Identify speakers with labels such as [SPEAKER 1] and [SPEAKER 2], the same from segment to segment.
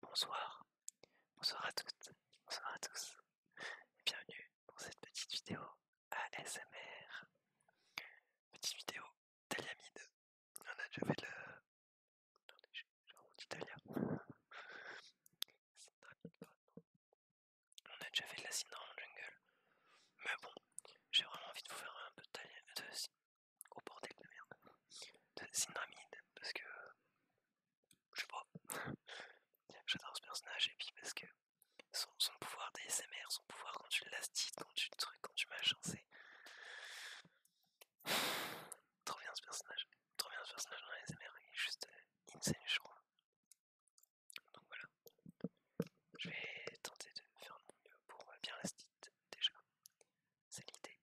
[SPEAKER 1] Bonsoir, bonsoir à toutes, bonsoir à tous, et bienvenue pour cette petite vidéo ASMR. Petite vidéo thaliamide, on a déjà fait de la. Attendez, j'ai on a déjà fait de la dans jungle, mais bon, j'ai vraiment envie de vous faire un peu de, de, au bordel de merde, de Syndramide, parce que je sais pas, j'adore ce personnage et puis parce que son, son pouvoir d'ASMR, son pouvoir quand tu l'astites, quand tu trucs, quand tu machins, c'est trop bien ce personnage, trop bien ce personnage dans l'ASMR, il est juste euh, insane, je crois. Donc voilà, je vais tenter de faire le mon mieux pour euh, bien l'astiquer déjà. C'est l'idée.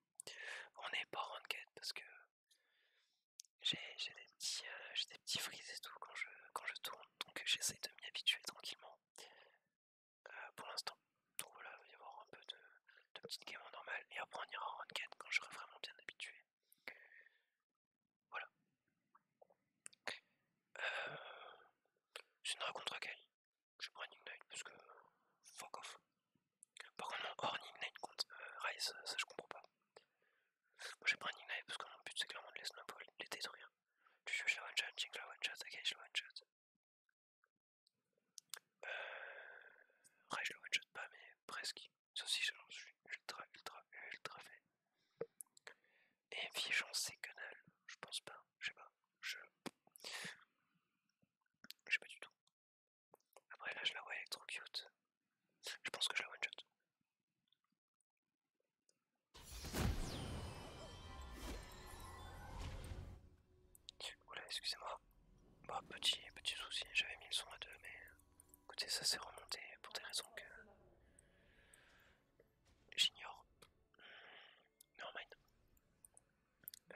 [SPEAKER 1] On n'est pas en quête parce que j'ai des petits euh, des petits frises et tout quand je quand je tourne, donc j'essaie de m'y habituer tranquillement euh, pour l'instant. Donc voilà, il va y avoir un peu de, petites games normales normal et après on ira en ranked quand j'aurai vraiment bien habitué. Voilà. Euh, c'est une raconte recueil je prends un Ignite parce que fuck off. Par contre, mon Horn Ignite contre euh, ça je comprends pas. Moi j'ai pris un Ignite parce que mon but c'est clairement de les snap, les détruire. Tu joues la one shot, Jinx la one shot, Again la one shot. Euh. je la one shot pas, mais presque. Ça aussi, je suis ultra, ultra, ultra fait. Et j'en sais que dalle, je pense pas, je sais pas. Je je sais pas du tout. Après là je la vois être trop cute. Je pense que je la one shot. Oula excusez-moi. Bah petit petit souci, j'avais mis le son à deux mais écoutez ça s'est remonté pour des raisons que j'ignore. normalement hmm, euh...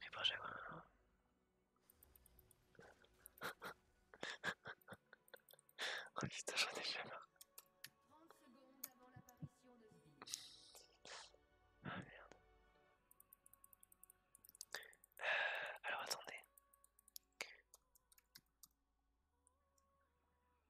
[SPEAKER 1] Mais bon, j'ai hein. oh putain, j'en ai Ah merde. Euh, alors attendez.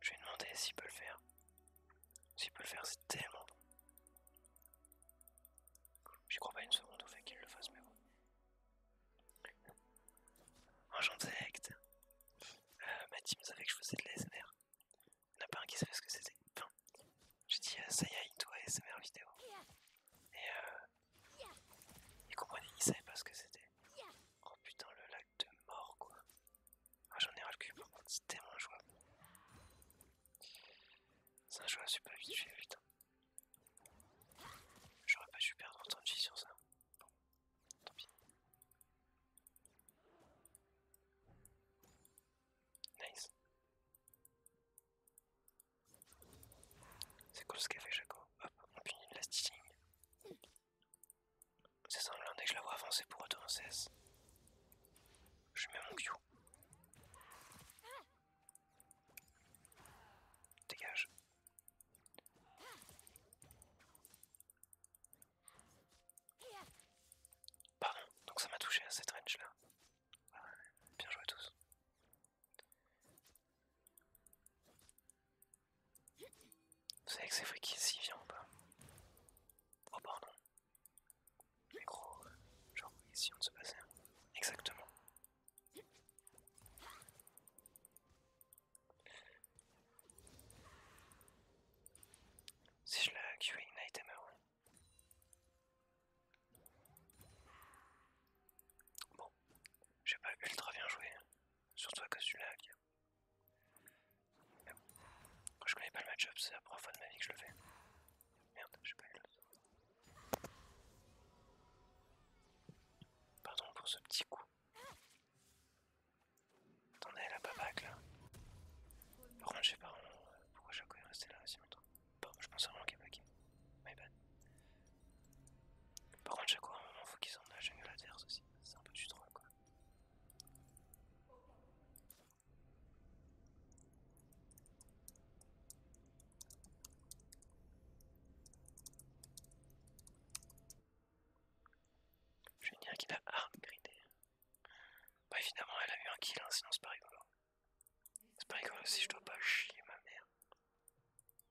[SPEAKER 1] Je vais demander s'il peut le faire. S'il peut le faire, c'est tellement bon. J'y crois pas une seconde au fait qu'il le fasse, mais bon. sais acte. Euh, ma team savait que je faisais de l'ASMR. Il a pas un qui savait ce que c'était. j'ai dit ça y est, toi ASMR vidéo. Et euh, ils comprenaient, ne savait pas ce que c'était. Oh putain, le de mort quoi. Ah, J'en ai recul, le cul par contre, c'est jouable. C'est un super vite pas vite, hein. J'aurais pas dû perdre autant de vie sur ça. Bon, tant pis. Nice. C'est cool ce qu'a fait Jaco. Hop, on punit le last c'est ça' dès que je la vois avancer pour autant cesse. Je mets mon Q. Dégage. Pardon, donc ça m'a touché à cette range là. bien joué à tous. Vous savez que c'est vrai qu'il s'y vient ou pas Oh pardon. Mais gros, genre ici on se passait. Hein. Exactement. Si je la a une item meurt. Bon, j'ai pas ultra bien joué. Hein. Surtout à cause du lag je connais pas le matchup, c'est la première fois de ma vie que je le fais. Merde, j'ai pas eu le temps. Pardon pour ce petit coup. Attendez, elle pas pas là. Par contre, je sais pas pourquoi Jaco est resté là aussi longtemps. je pense vraiment qu'il est qui. My bad. Par contre, Jaco, à un faut qu'ils en aillent à la terre aussi. C'est un peu du troll quoi. Je vais dire qu'il a arme gridé Bah évidemment elle a eu un kill, hein, sinon c'est pas rigolo. C'est pas rigolo si je dois pas chier ma mère.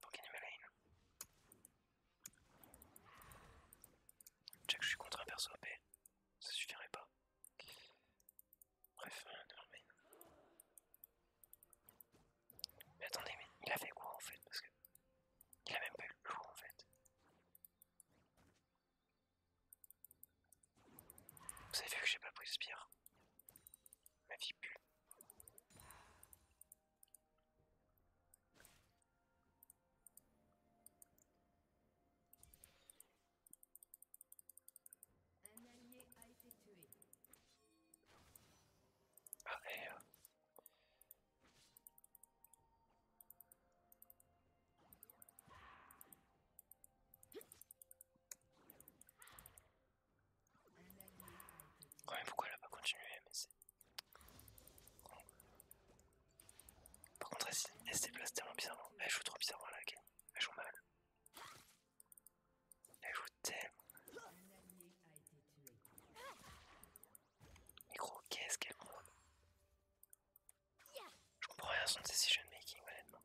[SPEAKER 1] Pour gagner me lane sais que je suis contre un perso AP, ça suffirait pas. Bref, euh, Mais attendez, mais il a fait quoi en fait Parce que. Il a même pas eu le coup en fait. Vous avez vu que j'ai pas pris de spire Ma vie pue. Ah, et... Ouais, mais pourquoi elle continué, Par contre, elle, se déplace tellement bizarrement. Elle joue trop bizarrement là, ok, Elle joue mal. Elle joue tellement. Mais gros, qu'est-ce qu'elle monte Je comprends rien à son decision making, honnêtement.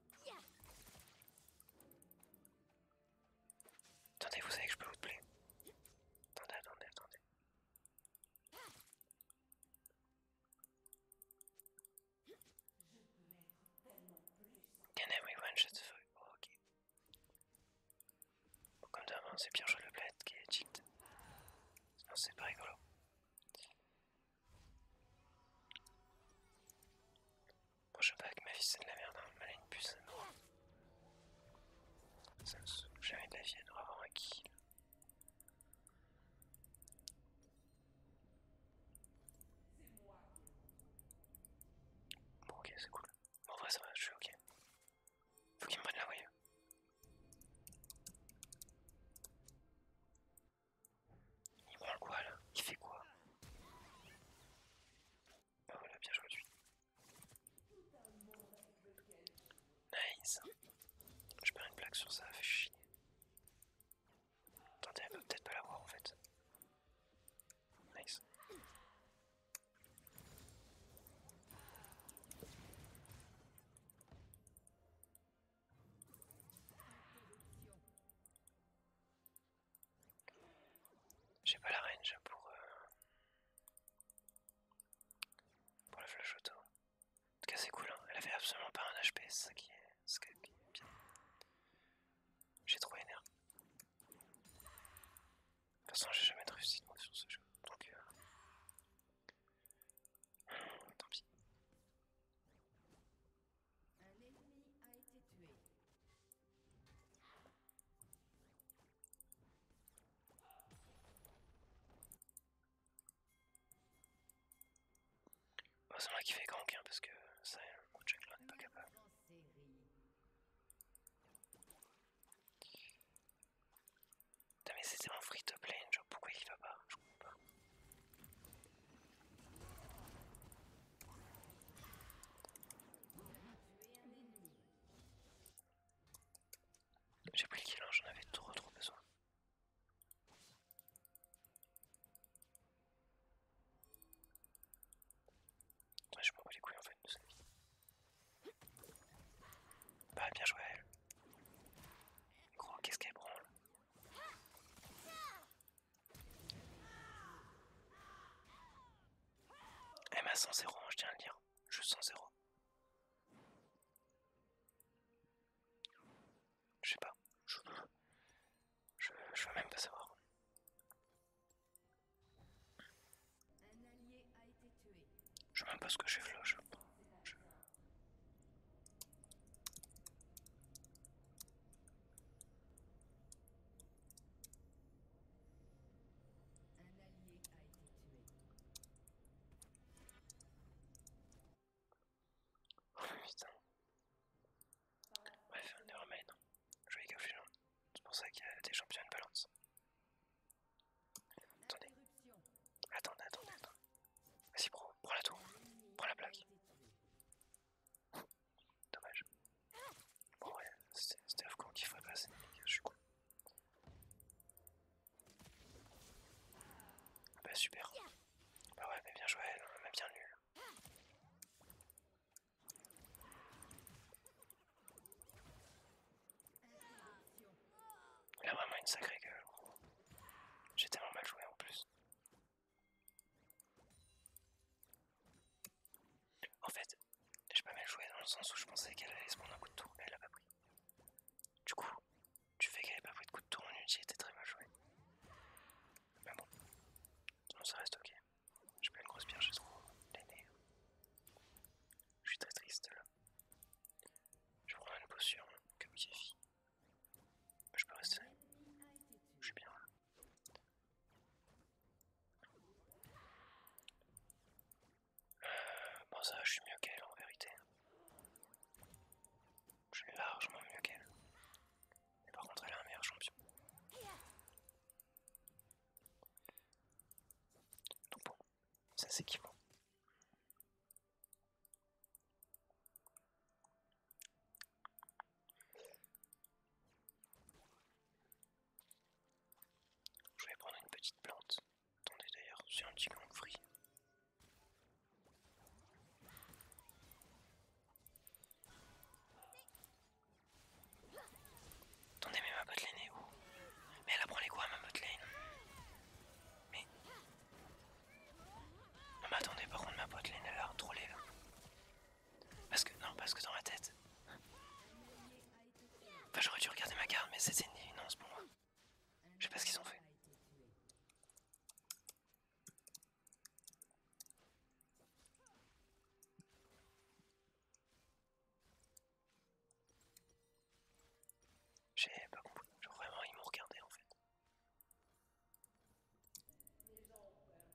[SPEAKER 1] Attendez, vous savez que je peux vous plaire. Attendez, attendez, attendez. Can everyone shut the fuck oh, Ok. comme d'hab, hein, c'est Pierre le bled qui est cheat. Sinon, c'est pas rigolo. Bon, je sais pas avec ma vie c'est de la merde, hein. malin une puce. Ça me saoule, jamais de la vienne, elle un kill. Bon ok c'est cool. En vrai ça va, je suis ok. Faut qu'il me prenne la voyez. Il prend quoi là Il fait quoi Ah voilà, bien joué lui. Nice. Je perds une plaque sur ça, fait chier. Attendez, elle peut peut-être pas l'avoir en fait. Nice. J'ai pas la range pour... Euh, pour la flash auto. En tout cas c'est cool, hein. elle avait absolument pas un HP, c'est ça qui est, bien. J'ai trop énervé. De toute façon j'ai jamais de réussite moi sur ce jeu, donc euh, hmm, tant pis. Un ennemi a été tué. Bah, c'est moi qui fais gank hein, parce que ça, mon check là n'est pas capable. Putain mais c'était mon free to play, pourquoi il va pas Je comprends pas. J'ai pris le kill, j'en avais trop trop besoin. je m'en bats les couilles en fait de sa vie. Bah bien joué à elle. Gros, qu'est-ce qu'elle branle Elle m'a 100 0, hein, je tiens à le dire. Je 100 0. Je sais pas. Je, je, veux même pas savoir. Je sais même pas ce que j'ai fait Oh putain. Bref, on est remain. Je vais cacher gens C'est pour ça qu'il y a des champions de balance. Attendez. Attendez, attendez, Vas-y, pro, prends la tour. Prends la plaque. Dommage. Bon, ouais, c'était con qui ferait passer, je suis con. Bah super. Bah ouais, mais bien joué, elle, hein, bien nul. Elle a vraiment une sacrée gueule. J'ai tellement mal joué en plus. En fait, j'ai pas mal joué dans le sens où je pensais qu'elle allait se prendre un coup de tour, mais elle a pas pris. Du coup, tu fais qu'elle ait pas pris de coup de tour en ulti était très mal joué. Mais bon, ça reste ok. J'ai pas une grosse pierre j'ai trop l'aîné. Je suis très triste là. Je prends une potion comme Mais Je peux rester. Je suis bien là bon ça, je suis mieux qu'elle en vérité. Je suis largement mieux qu'elle. Mais par contre, elle est un meilleur champion. Donc bon, ça c'est qui Je vais prendre une petite plante. Attendez d'ailleurs, c'est un petit gang free. Attendez mais ma botlane est où Mais elle apprend les quoi ma botlane Mais... Non mais attendez par contre ma botlane elle a trop là. Parce que... Non parce que dans ma tête... Enfin, j'aurais dû regarder ma carte, mais c'est une évidence pour moi. Je sais pas ce qu'ils ont fait. J'ai pas compris. Genre vraiment, ils m'ont regardé en fait.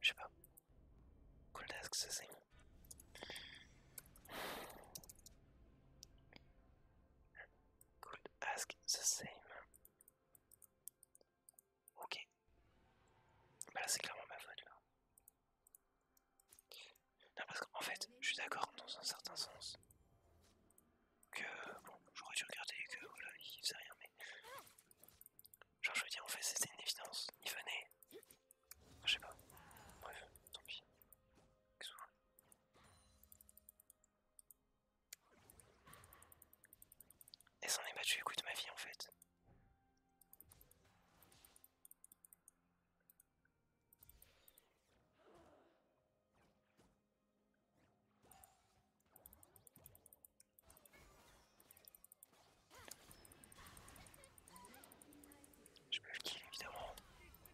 [SPEAKER 1] Je sais pas. Cool Desk, c'est Could ask the same. Ok. Bah là c'est clairement ma faute là. Non parce qu'en fait, je suis d'accord dans un certain sens. Que bon, j'aurais dû regarder que voilà, il faisait rien mais. Genre je veux dire en fait c'était une évidence. Il venait, je sais pas. Bref, tant pis. Qu'est-ce que Et s'en est battu le coup de ma vie en fait. Je peux le kill évidemment,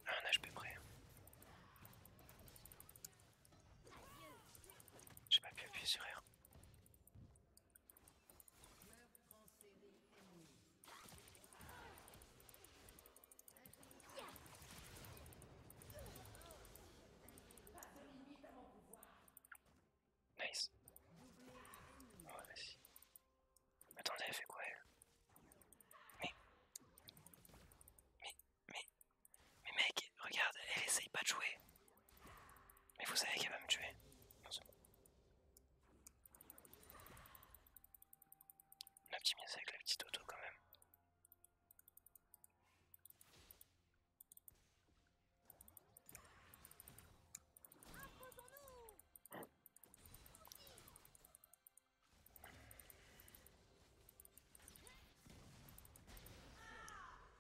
[SPEAKER 1] à ah, un HP près. J'ai pas pu appuyer sur R. Nice. Oh, vas-y. Attendez, elle fait quoi elle Mais. Mais. Mais. mec, regarde, elle essaye pas de jouer. Mais vous savez qu'elle va me tuer. Non, c'est bon. avec la petite auto quand même.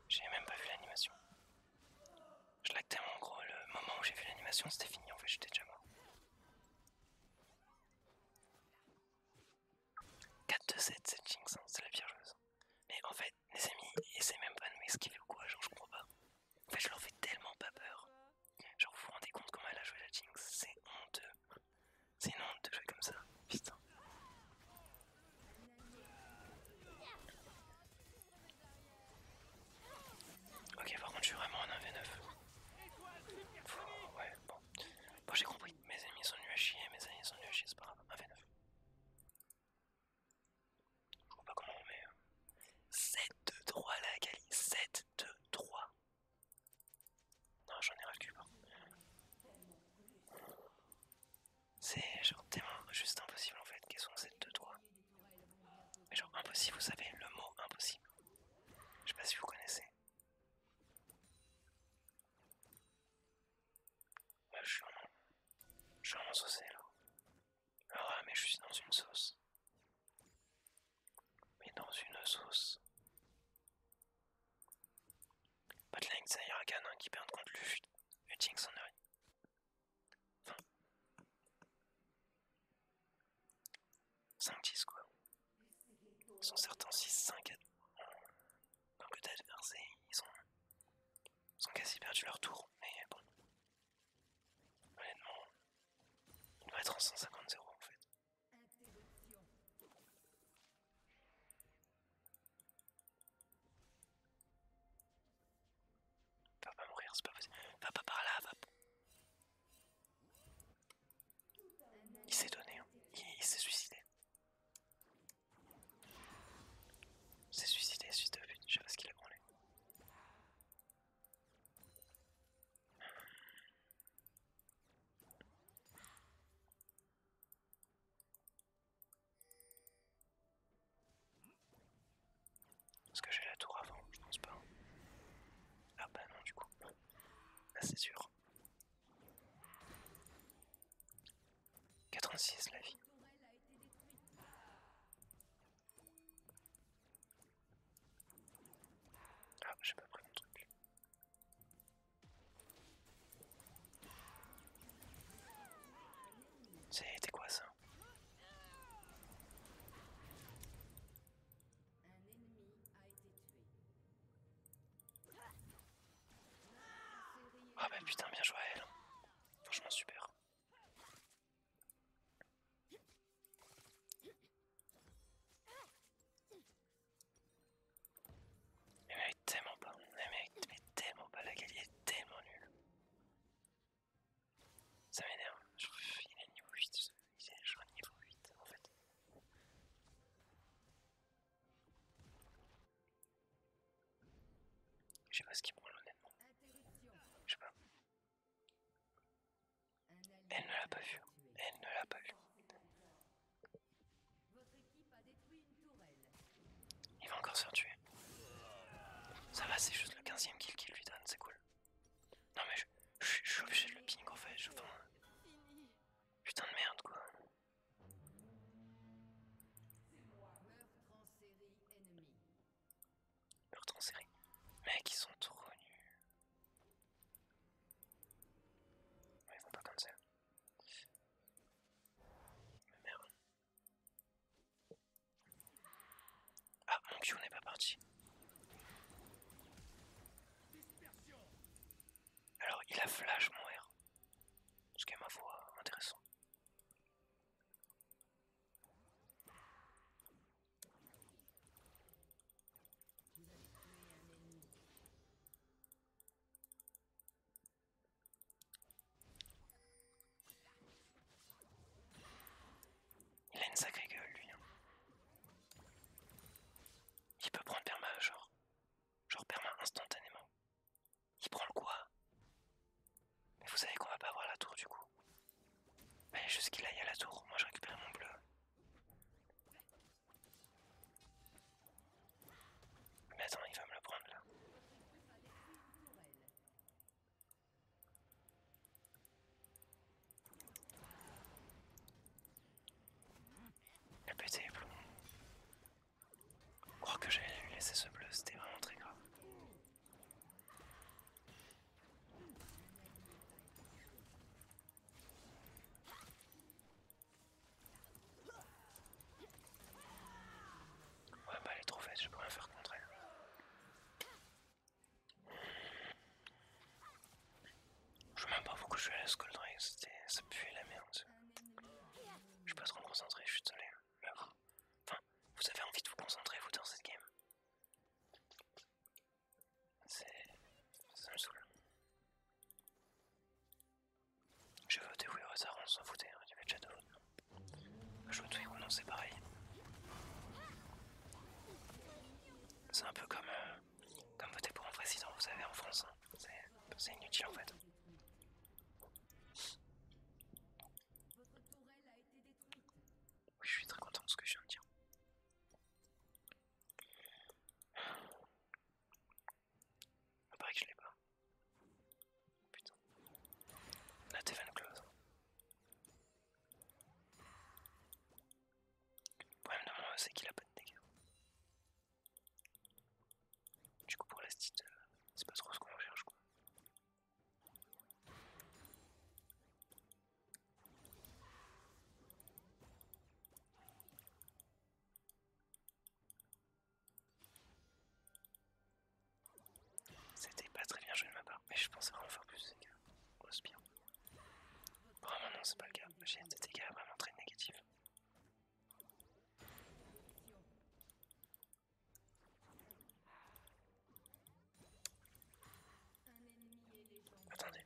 [SPEAKER 1] J'ai même pas vu l'animation. Je lag tellement gros, le moment où j'ai vu l'animation c'était fini en fait, j'étais déjà mort. 4-2-7, c'est Jinx, c'est la pire chose Mais en fait, les amis, essaient même pas de m'esquiver ou quoi, je crois pas. En fait, je leur fais tellement pas peur. Genre, vous vous rendez compte comment elle a joué la Jinx C'est honteux. C'est une honte de jouer comme ça. Putain. Ok, par contre, je suis vraiment en 1v9. Ouais, bon. Bon, j'ai compris. Mes ennemis sont nus à chier, mes ennemis sont nuls à chier, c'est pas grave. 1v9. Je vois pas comment on met. 7-2-3 euh, la Gali, 7-2-3. Non, j'en ai ras C'est genre tellement juste impossible en fait, qu'elles sont ces deux doigts. Mais genre impossible, vous savez, le mot impossible. Je sais pas si vous connaissez. Bah, je suis en... Je sauce là. ah, mais je suis dans une sauce mais dans une sauce. Botline, c'est Huracan un qui perd contre Luffy en 5-10 quoi. Ben, ils sont certains 6-5 Donc le ils ont, ils ont quasi perdu leur tour, mais bon. Honnêtement, il doit être en 150-0 en fait. Interruption. Va pas mourir, c'est pas possible. Va pas par là, va. Il s'est donné, hein. il, s'est suicidé. Il s'est suicidé, suicidé, je sais pas ce qu'il a branlé. Est-ce que j'ai la tour avant Je pense pas. Ah bah non du coup. Ah c'est sûr. 86 la vie. Ah, j'ai pas pris mon truc. C'était quoi ça Ah bah putain, bien joué à elle. Franchement super. Elle eh ben, mérite tellement pas. Elle mérite tellement pas. La qualité est tellement nulle. Ça m'énerve. Je il est niveau 8. Il est genre niveau 8 en fait. Je sais pas ce qu'il prend honnêtement. Je sais pas. Elle ne l'a pas vu. Elle ne l'a pas vu. Il va encore se faire tuer. Ça va, c'est juste le 15ème kill qu'il lui donne, c'est cool. Non mais je, suis obligé de le ping en fait, je Putain de merde quoi. Meurtre en série. Mec, ils sont trop nuls. Ah, mon Q n'est pas parti. Alors, il a flash mon R. Ce qui est ma foi intéressant. Il a une sacrée gueule lui. Hein. Il peut prendre perma genre. Genre perma instantanément. Il prend le quoi Mais vous savez qu'on va pas voir la tour du coup. Allez juste qu'il aille à la tour, moi je récupère mon bleu. Mais attends, il va me le prendre là. Le petit est Je crois que j'ai laissé ce bleu, c'était vraiment très grave. Ouais, bah elle est trop faite, je peux rien faire contre elle. Je sais même pas je suis allé à Skull ça puait la merde. Je suis pas trop me concentrer, je suis désolé. Enfin, vous avez envie de vous concentrer vous dans cette game. C'est... ça me saoule. Je voter pour au hasard, on s'en foutait, hein, il y avait chat de Je vote pour ou non, c'est pareil. C'est un peu comme, euh, voter pour un président, vous savez, en France. Hein. C'est inutile en fait. Oui, Je suis très content de ce que je viens de dire. Il paraît que je l'ai pas. Putain. La Teven Close. Le problème de moi, c'est qu'il a pas de dégâts. Du coup, pour la stite, euh, c'est pas trop ce qu'on recherche quoi. C'était pas très bien joué de ma part, mais je pensais vraiment faire plus de oh, bien. au Vraiment non, c'est pas le cas, j'ai des dégâts vraiment très négatifs. Attendez,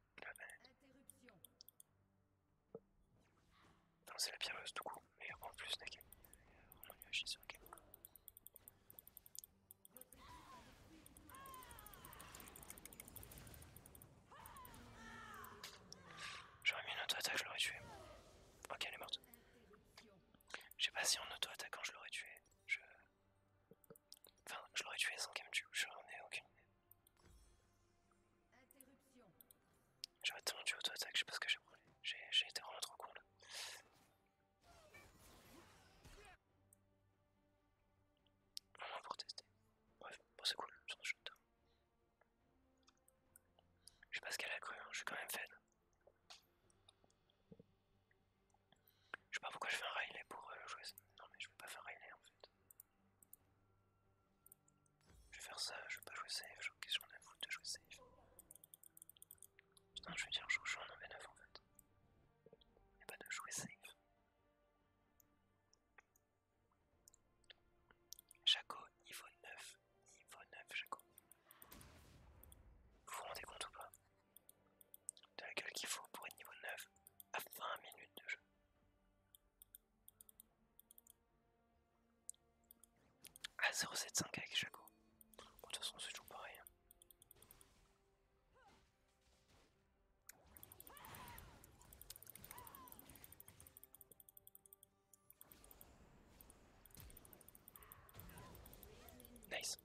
[SPEAKER 1] Non, c'est la pyreuse euh, du coup, mais en plus, la game est a sur le game. J'aurais mis une auto-attaque, je l'aurais tué. Ok, elle est morte. Je sais pas si en auto-attaquant je l'aurais tué. Enfin, je l'aurais tué sans qu'elle me tue, n'en ai aucune idée. J'aurais tellement tué auto-attaque, je sais pas ce que j'ai brûlé. J'ai été vraiment trop con là. pour tester. Bref, bon c'est cool, je suis achète. Je sais pas ce qu'elle a cru, hein, je suis quand même fan. Je sais pas pourquoi je fais un Riley pour euh, jouer Non mais je veux pas faire un Riley en fait. Je vais faire ça, je veux pas jouer safe, genre qu'est-ce qu'on a foutu de jouer safe. Non je veux dire je joue en 1v9 en fait. Y'a pas de jouer safe. Jaco niveau 9, niveau 9 Jaco. Vous vous rendez compte ou pas De la gueule qu'il faut pour être niveau 9 à 20 minutes de jeu. Ah 075 avec Chaco. de toute façon c'est toujours pareil. Hein. Nice.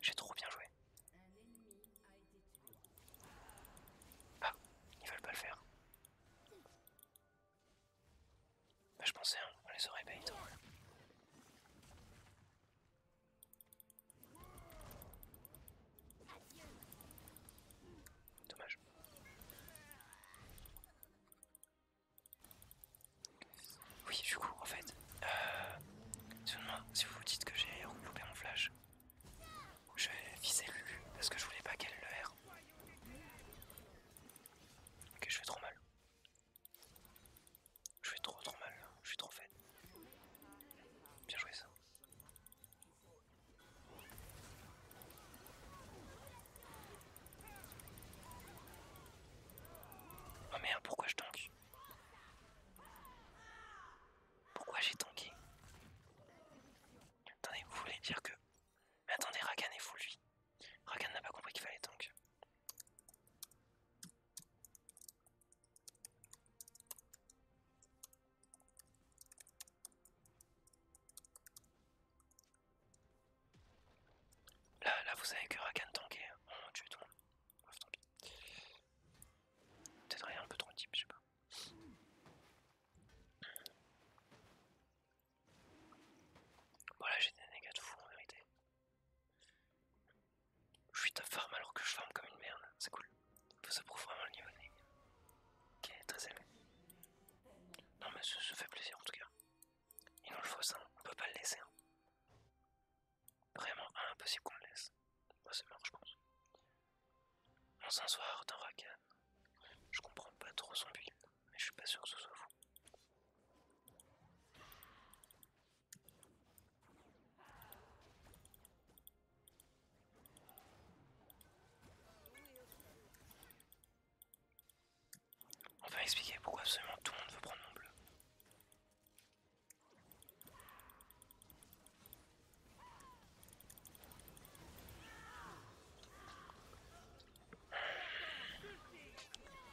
[SPEAKER 1] J'ai trop bien joué. Ah, ils veulent pas le faire. Bah, je pensais, hein, les aurait bait. Dommage. Oui, du coup, en fait, euh, si vous dites que j'ai regroupé mon flash, je vais viser lui parce que je voulais pas qu'elle le R. Ok, je fais trop mal. Je fais trop trop mal, je suis trop faible. Bien joué ça. Oh merde, pourquoi je tanke pourquoi j'ai tanké Attendez, vous voulez dire que... attendez, Rakan est fou lui. Rakan n'a pas compris qu'il fallait tank. Là, là vous savez que Rakan tankait. On tue tout Peut-être rien un peu trop type, je sais pas. Voilà, j'ai des négats de fou en vérité. Je suis ta farm alors que je farm comme une merde, c'est cool. Ça prouve vraiment le niveau de qui très aimé. Non, mais ça, se fait plaisir en tout cas. Il nous le faut ça, on peut pas le laisser. Hein. Vraiment impossible qu'on le laisse. Moi, c'est mort, je pense. On s'ensoir d'un Rakan Je comprends pas trop son but, mais je suis pas sûr que ce soit vous. On va expliquer pourquoi absolument tout le monde veut prendre mon bleu.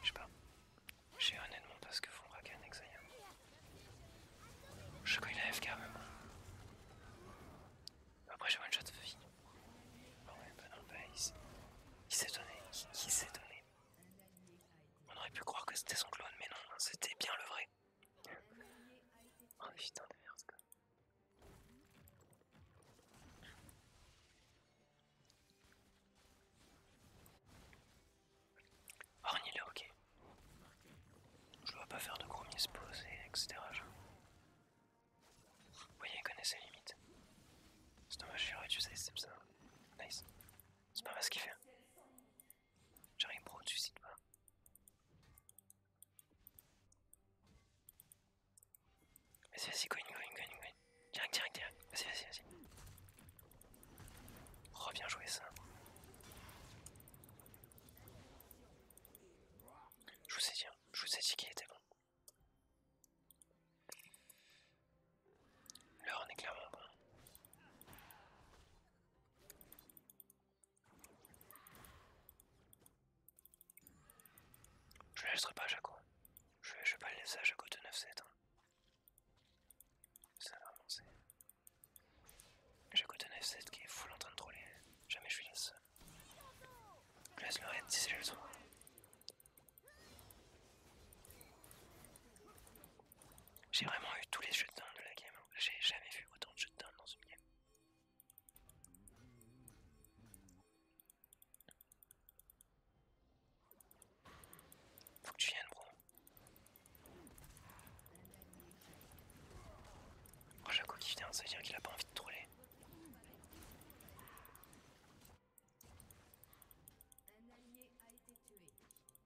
[SPEAKER 1] Je sais pas. J'ai honnêtement pas ce que font Rakan et Xayah. Je qu'il a FK même. Après j'ai one shot de vie. Ah ouais, bah bah, il s'est donné. il s'est donné. On aurait pu croire que c'était son clone, mais non, c'était bien le vrai oh putain de merde quoi. le oh, ok. Je dois pas faire de gros mispose et etc. Oui voyez, il connaît ses limites. C'est dommage, j'aurais dû sais, c'est ça. Nice. C'est pas mal ce qu'il fait. Hein. J'arrive au-dessus de pas. Vas-y, vas-y, go in, go in, go in, Direct, direct, direct. Vas-y, vas-y, vas-y. Reviens oh, jouer ça. Je vous ai dit, hein. je vous ai dit qu'il était bon. Là, on est clairement bon. Je ne laisserai pas à Jaco. Je vais, vais pas le laisser à Jaco de 9-7. Hein. Ça va avancer. Jaco de 9-7 qui est full en train de troller. Jamais je lui laisse. Je laisse le raid si c'est le trouve j'ai vraiment eu tous les jetons de la game. Hein. J'ai jamais vu autant de jetons dans une game. Faut que tu viennes, bro. Oh, Jaco qui vient, ça veut dire qu'il a pas envie de troller. Un allié a été tué.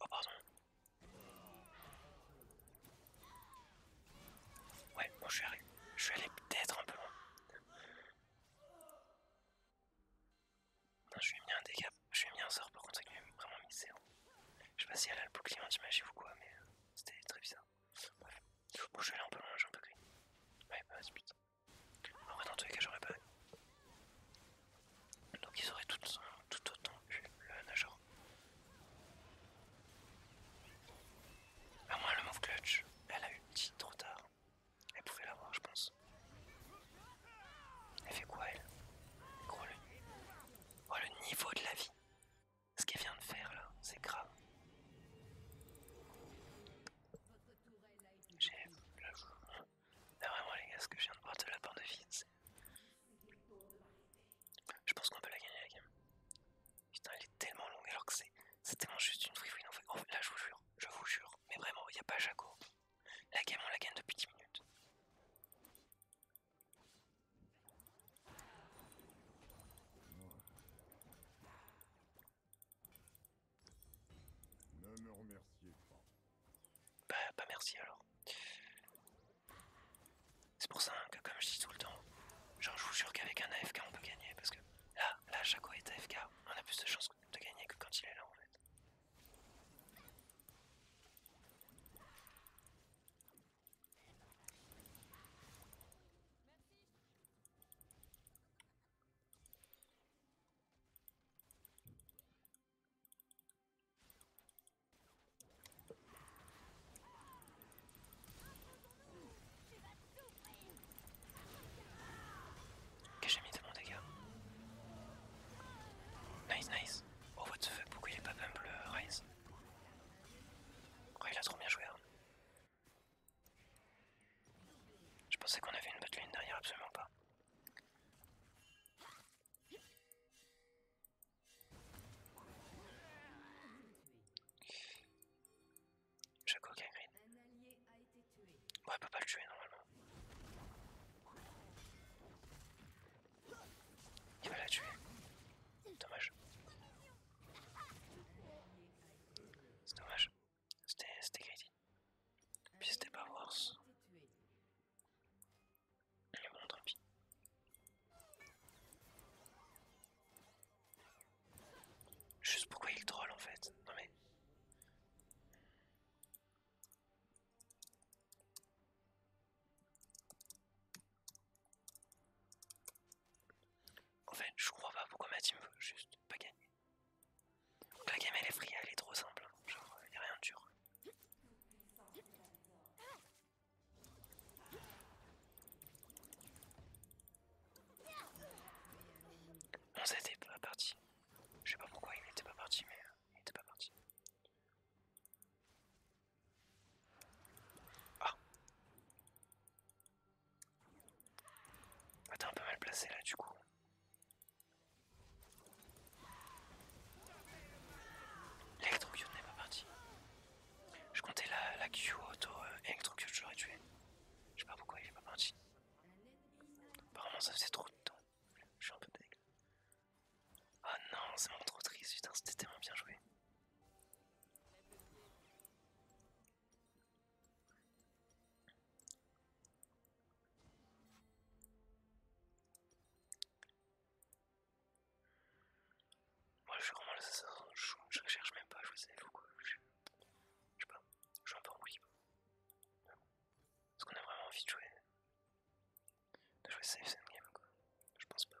[SPEAKER 1] Oh pardon. Ouais, bon je suis arrivé, je suis allé peut-être un peu loin. Non, je lui ai mis un dégât, je lui ai mis un sort par contre, lui vraiment mis zéro. Je sais pas si elle a le bouclier anti ou quoi, mais euh, c'était très bizarre. Bref. Bon, je vais aller peu loin, j'ai un peu gris Ouais, bah, c'est putain. En vrai, dans tous les cas, j'aurais pas. Donc, ils auraient euh, tout, autant eu le nageur. À moins le move clutch, elle a eu petit trop tard. Elle pouvait l'avoir, je pense. Elle fait quoi, elle Gros, Oh, le niveau de la vie ce qu'elle vient de faire là, c'est grave. J'ai. joue. vraiment, ah les gars, ce que je viens de voir de la porte de c'est... Je pense qu'on peut la gagner la game. Putain, elle est tellement longue alors que c'est tellement juste une free oh, là, je vous jure, je vous jure. Mais vraiment, il n'y a pas Jaco. La game, on la gagne depuis 10 minutes. Ne me remerciez pas. Bah, pas merci alors. C'est pour ça hein, que, comme je dis tout le temps, genre, je vous jure qu'avec un AFK on peut gagner parce que là, là, Chaco est AFK, on a plus de chances de gagner que quand il est là en fait. Qu'est-ce que j'ai mis de mon dégât. Nice, nice. Oh, what the fuck, pourquoi il est pas bump le Ryze Oh, il a trop bien joué. Hein. Je pensais qu'on avait une botte derrière, absolument pas. est Gagrid. Bon, elle peut pas le tuer normalement. Il va la tuer. Dommage. C'est dommage. C'était greedy. Puis c'était pas worse. Le bon, tant pis. Juste pourquoi il troll en fait. Non mais. En fait, je crois pas pourquoi ma team veut juste pas gagner. la game elle est friable, elle est trop simple, hein. genre n'y euh, a rien de dur. On s'était pas parti. Je sais pas pourquoi il n'était pas parti, mais euh, il n'était pas parti. Ah ah, t'es un peu mal placé là du coup. L'électrocute n'est pas parti. Je comptais la, la Q auto Electro euh, électrocute, je l'aurais tué. Je sais pas pourquoi il est pas parti. Apparemment ça faisait trop de temps. Je suis un peu deg. Oh non, c'est vraiment trop triste, putain, c'était tellement bien joué. Moi je suis vraiment l'assassin, je, je cherche même pas, je sais ou quoi. Je, je sais pas, je suis un peu en libre. Est-ce qu'on a vraiment envie de jouer de jouer safe game quoi Je pense pas.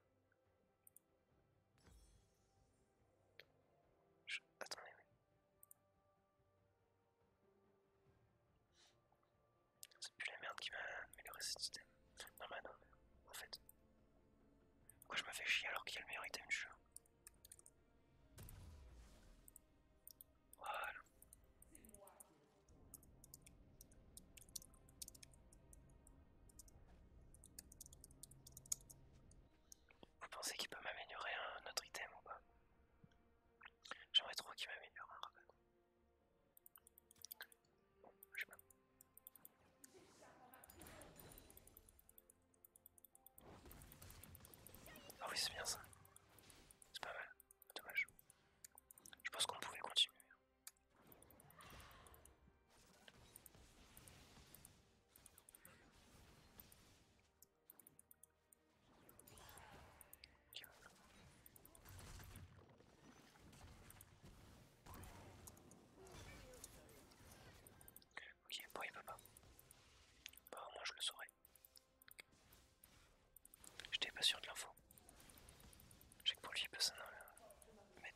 [SPEAKER 1] C'est plus la merde qui va améliorer cet item. Non, bah non, en fait. Pourquoi je me fais chier alors qu'il y a le meilleur item du jeu vous pensez qu'il peut m'améliorer un autre item ou pas J'aimerais trop qu'il m'améliore un rabat. je sais Ah oui, c'est bien ça. C'est pas mal. Dommage. Je pense qu'on pouvait continuer. Hein. Ok, bon il peut pas. Moi, je le saurais. J'étais pas sûr de l'info. Je que pour lui il peut euh, euh,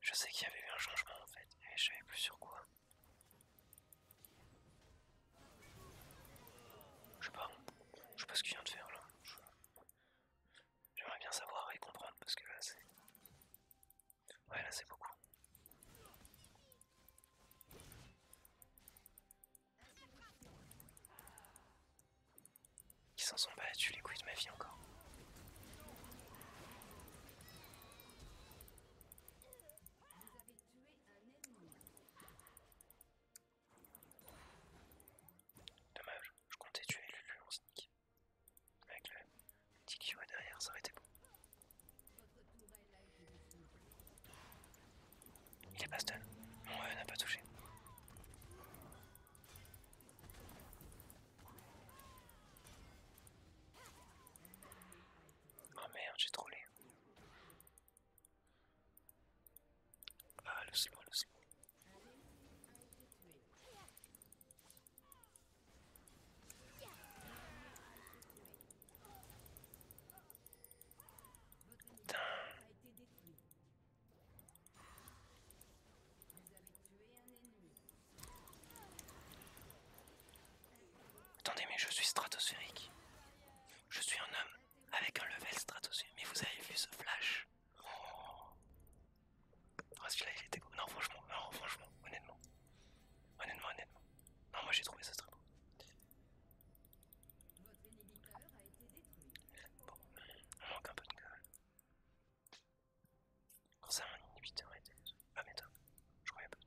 [SPEAKER 1] je sais qu'il y avait eu un changement en fait, mais je savais plus sur quoi. Je sais pas, je sais pas ce qu'il vient de faire là. J'aimerais bien savoir et comprendre parce que là c'est. Ouais, là c'est beaucoup. Qui s'en sont battus les couilles de ma vie encore. Dommage, je comptais tuer Lulu en sneak. Avec le petit Kyo derrière, ça aurait été bon. Il est pas stall, mon n'a pas touché. Oh merde, j'ai trollé. Ah, le cibou, le Putain. Attendez, mais je suis stratosphérique. Je suis un homme avec un level stratosphérique. Mais vous avez vu ce flash Oh, ah, là il était Non, franchement, non, franchement, honnêtement. Honnêtement, honnêtement. Non, moi j'ai trouvé ça très beau. Bon, on manque un peu de gueule. Quand ça, mon inhibiteur été Ah, mais attends, je croyais pas.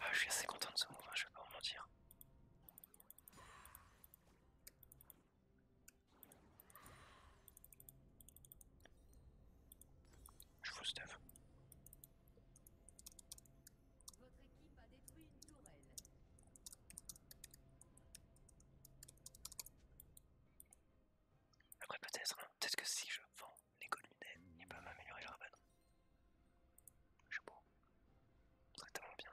[SPEAKER 1] Ah, je suis assez content de ce mouvement, hein, je vais pas vous mentir. Je vous stuff. Votre équipe a détruit une tourelle. Après peut-être, hein, peut-être que si je vends les lunettes, il peut m'améliorer le rabat. Je sais pas. C'est tellement bien.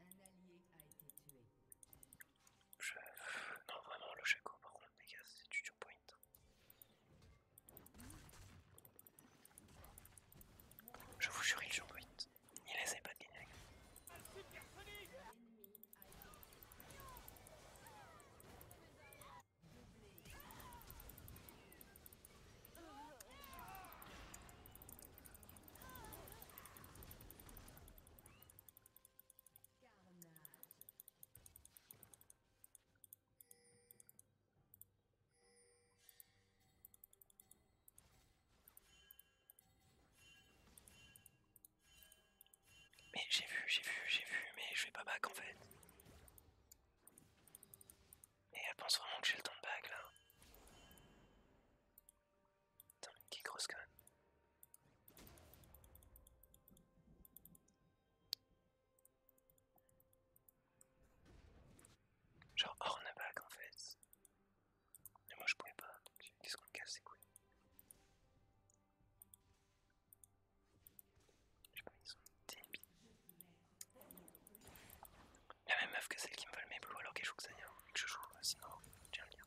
[SPEAKER 1] Un allié Je... Non, vraiment, le par contre, c'est point. Je vous jure, il jump point. Il essaie pas de gagner. Mais j'ai vu, j'ai vu, j'ai vu, mais je vais pas back en fait. et elle pense vraiment que j'ai le temps de back là. Putain, qui grosse quand même. Genre Hornaback en fait. Mais moi je pouvais pas, donc qu'est-ce qu'on me casse, c'est cool. Je sais pas, ils sont débiles. La même meuf que celle qui me vole mes blous alors qu'elle joue que ça y est, que je joue, euh, sinon j'ai un lien.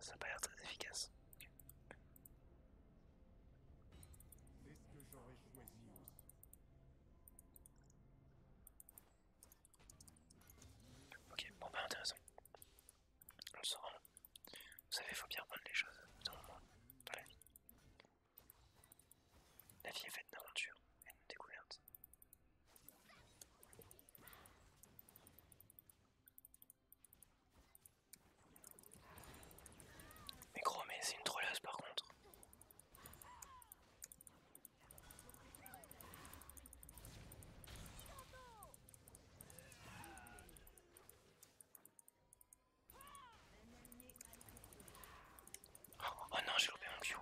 [SPEAKER 1] Ça n'a pas l'air très efficace. Ok, bon pas bah, intéressant. On le saura. Vous savez, faut bien prendre les choses dans le monde, la vie. La vie est faite d'aventures et de découvertes. Mais gros, mais c'est une trollasse par contre. Oh, oh non, j'ai loupé mon Q.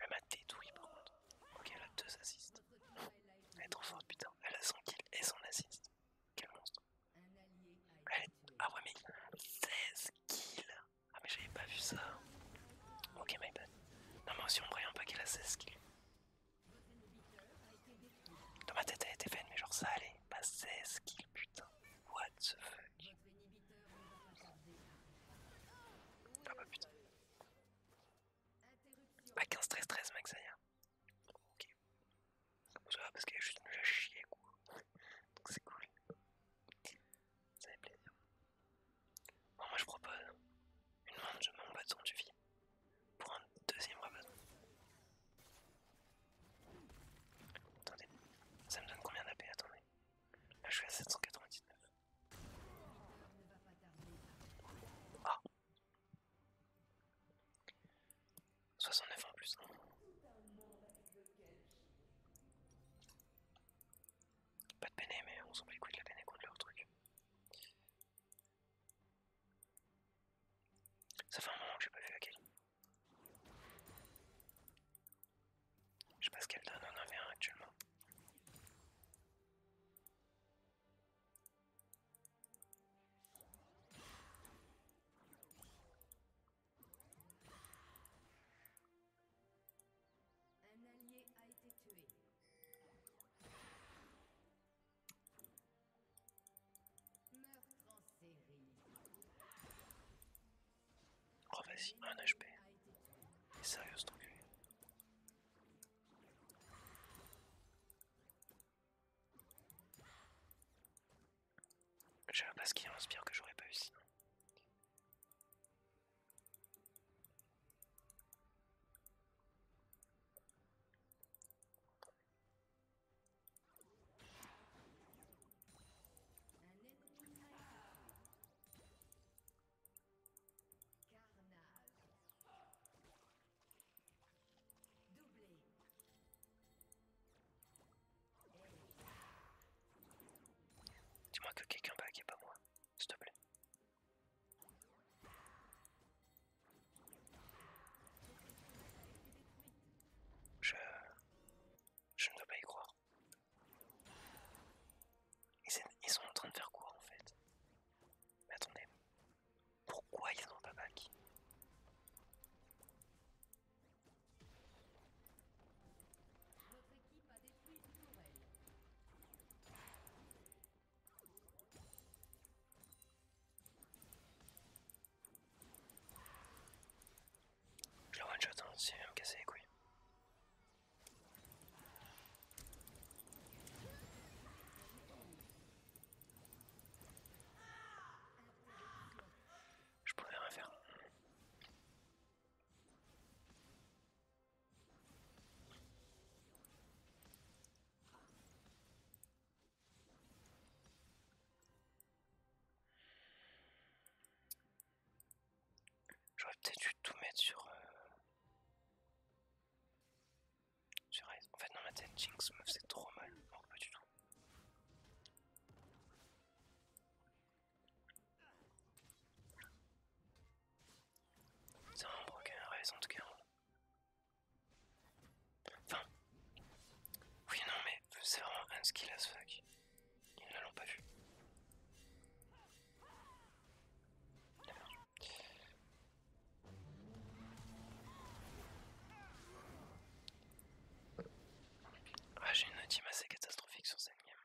[SPEAKER 1] Elle m'a détruit par contre. Ok, elle a deux assists. Elle est trop forte, putain. Elle a son kill et son assist. Quel monstre. Elle est... Ah ouais, mais 16 kills. Ah, mais j'avais pas vu ça. Ok, my bad. Non, mais aussi, on voyait pas qu'elle a 16 kills. Dans ma tête, elle était faite mais genre ça allait. Bah 16 kills, putain. What the fuck tac. Ah bah putain. Ah 15, 13, 13 mec, ça Ok. Ça va parce qu'elle est juste nulle à chier quoi. Donc c'est cool. Ça fait plaisir. Bon, moi je propose une montre, de mon bâton du vie. Pour un deuxième bâton Attendez, ça me donne combien d'AP Attendez. Là je suis à 799. Ah 69 en plus. Pas de béné, mais on s'en bat les couilles de la béné contre leur truc. Ça fait un moment que j'ai pas vu laquelle. Je sais pas ce qu'elle donne en 1 actuellement. Un allié a été tué. Meurtre en série. Oh vas-y, un HP. ton sérieux cet enculé J'avais pas ce qui inspire que j'aurais pas eu Dis-moi que quelqu'un qui et pas moi, s'il te plaît. Je... Je ne dois pas y croire. Ils sont en train de faire quoi en fait attendez, pourquoi ils n'ont pas back je le one-shot hein, si il va me couilles. Je pouvais rien faire. J'aurais peut-être dû tout mettre sur. Euh, sur Sur En fait, dans ma tête, Jinx me faisait trop mal. pour pas du tout. C'est un broken raison en tout cas. Enfin. Oui, non, mais c'est vraiment un skill as fuck. Ils ne l'ont pas vu. Ah, j'ai une ultime assez catastrophique sur cette game.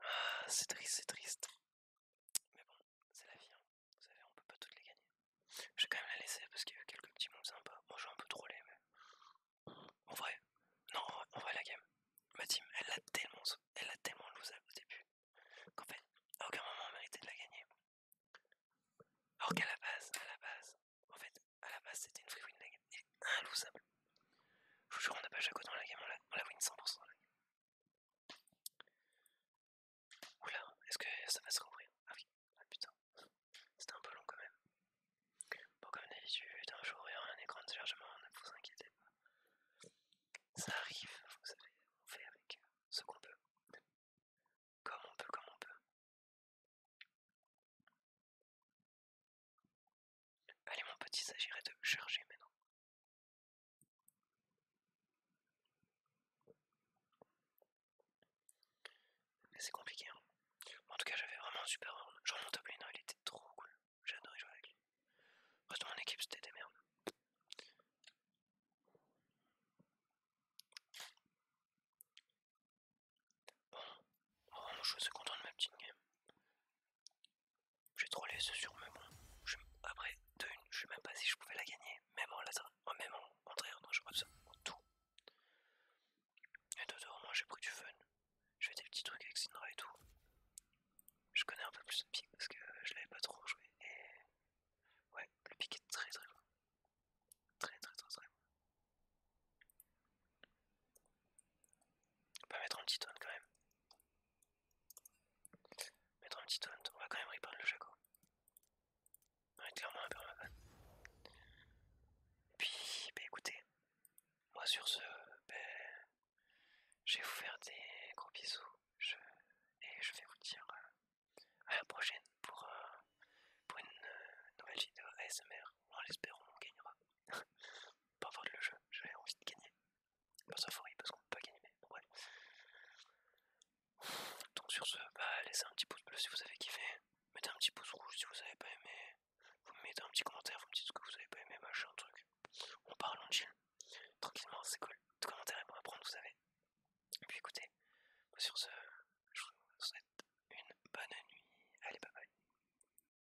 [SPEAKER 1] Ah, c'est triste, c'est triste. Mais bon, c'est la vie. Hein. Vous savez, on peut pas toutes les gagner. Je vais quand même la laisser parce qu'il y a eu quelques petits mots sympas. Moi, j'ai un peu troller, mais. En vrai, non, en vrai, la game. Ma team, elle l'a tellement, elle l'a tellement loosable au début qu'en fait, à aucun moment on méritait de la gagner. Alors qu'à la base, à la base, en fait, à la base, c'était une free vous Je vous jure, on n'a pas chaque dans la game, on la, win 100% dans la game. Oula, est-ce que ça va se rouvrir Ah oui, ah putain, c'était un peu long quand même. Bon, comme d'habitude, un jour, il y aura un écran de chargement, ne vous inquiétez pas. Ça arrive, vous savez, on fait avec ce qu'on peut. Comme on peut, comme on peut. Allez mon petit, il s'agirait de charger maintenant. c'est compliqué. Hein. En tout cas, j'avais vraiment un super rôle. Genre mon top il était trop cool. J'ai adoré jouer avec lui. Reste mon équipe, c'était des merdes. Bon, oh, je suis content de ma petite game. J'ai trollé ce sur mes après, je sais même pas si je pouvais la gagner, même en laser, oh, même en contraire, je tout. Et de part, j'ai pris du fun. Je fais des petits trucs avec Sindra et tout. Je connais un peu plus le pic parce que je l'avais pas trop joué. Et ouais, le pic est très très bon. Très très très très bon. On va mettre un petit taunt quand même. Mettre un petit taunt, on va quand même reprendre le Chaco On est clairement un peu en Et Puis, bah écoutez, moi sur ce, ben je vais vous faire des gros bisous et je vais vous dire euh, à la prochaine pour, euh, une euh, nouvelle vidéo ASMR. On l'espère, on gagnera. pas voir le jeu, j'avais envie de gagner. Pas parce qu'on peut pas gagner, mais Donc sur ce, bah, laissez un petit pouce bleu si vous avez kiffé, mettez un petit pouce rouge si vous avez pas aimé, vous mettez un petit commentaire, vous me dites ce que vous avez pas aimé, un truc. On parle, en chill, tranquillement, c'est cool. Tout commentaire est bon à vous savez. Et puis écoutez, bah, sur ce, je vous souhaite une bonne nuit. Allez, bye bye.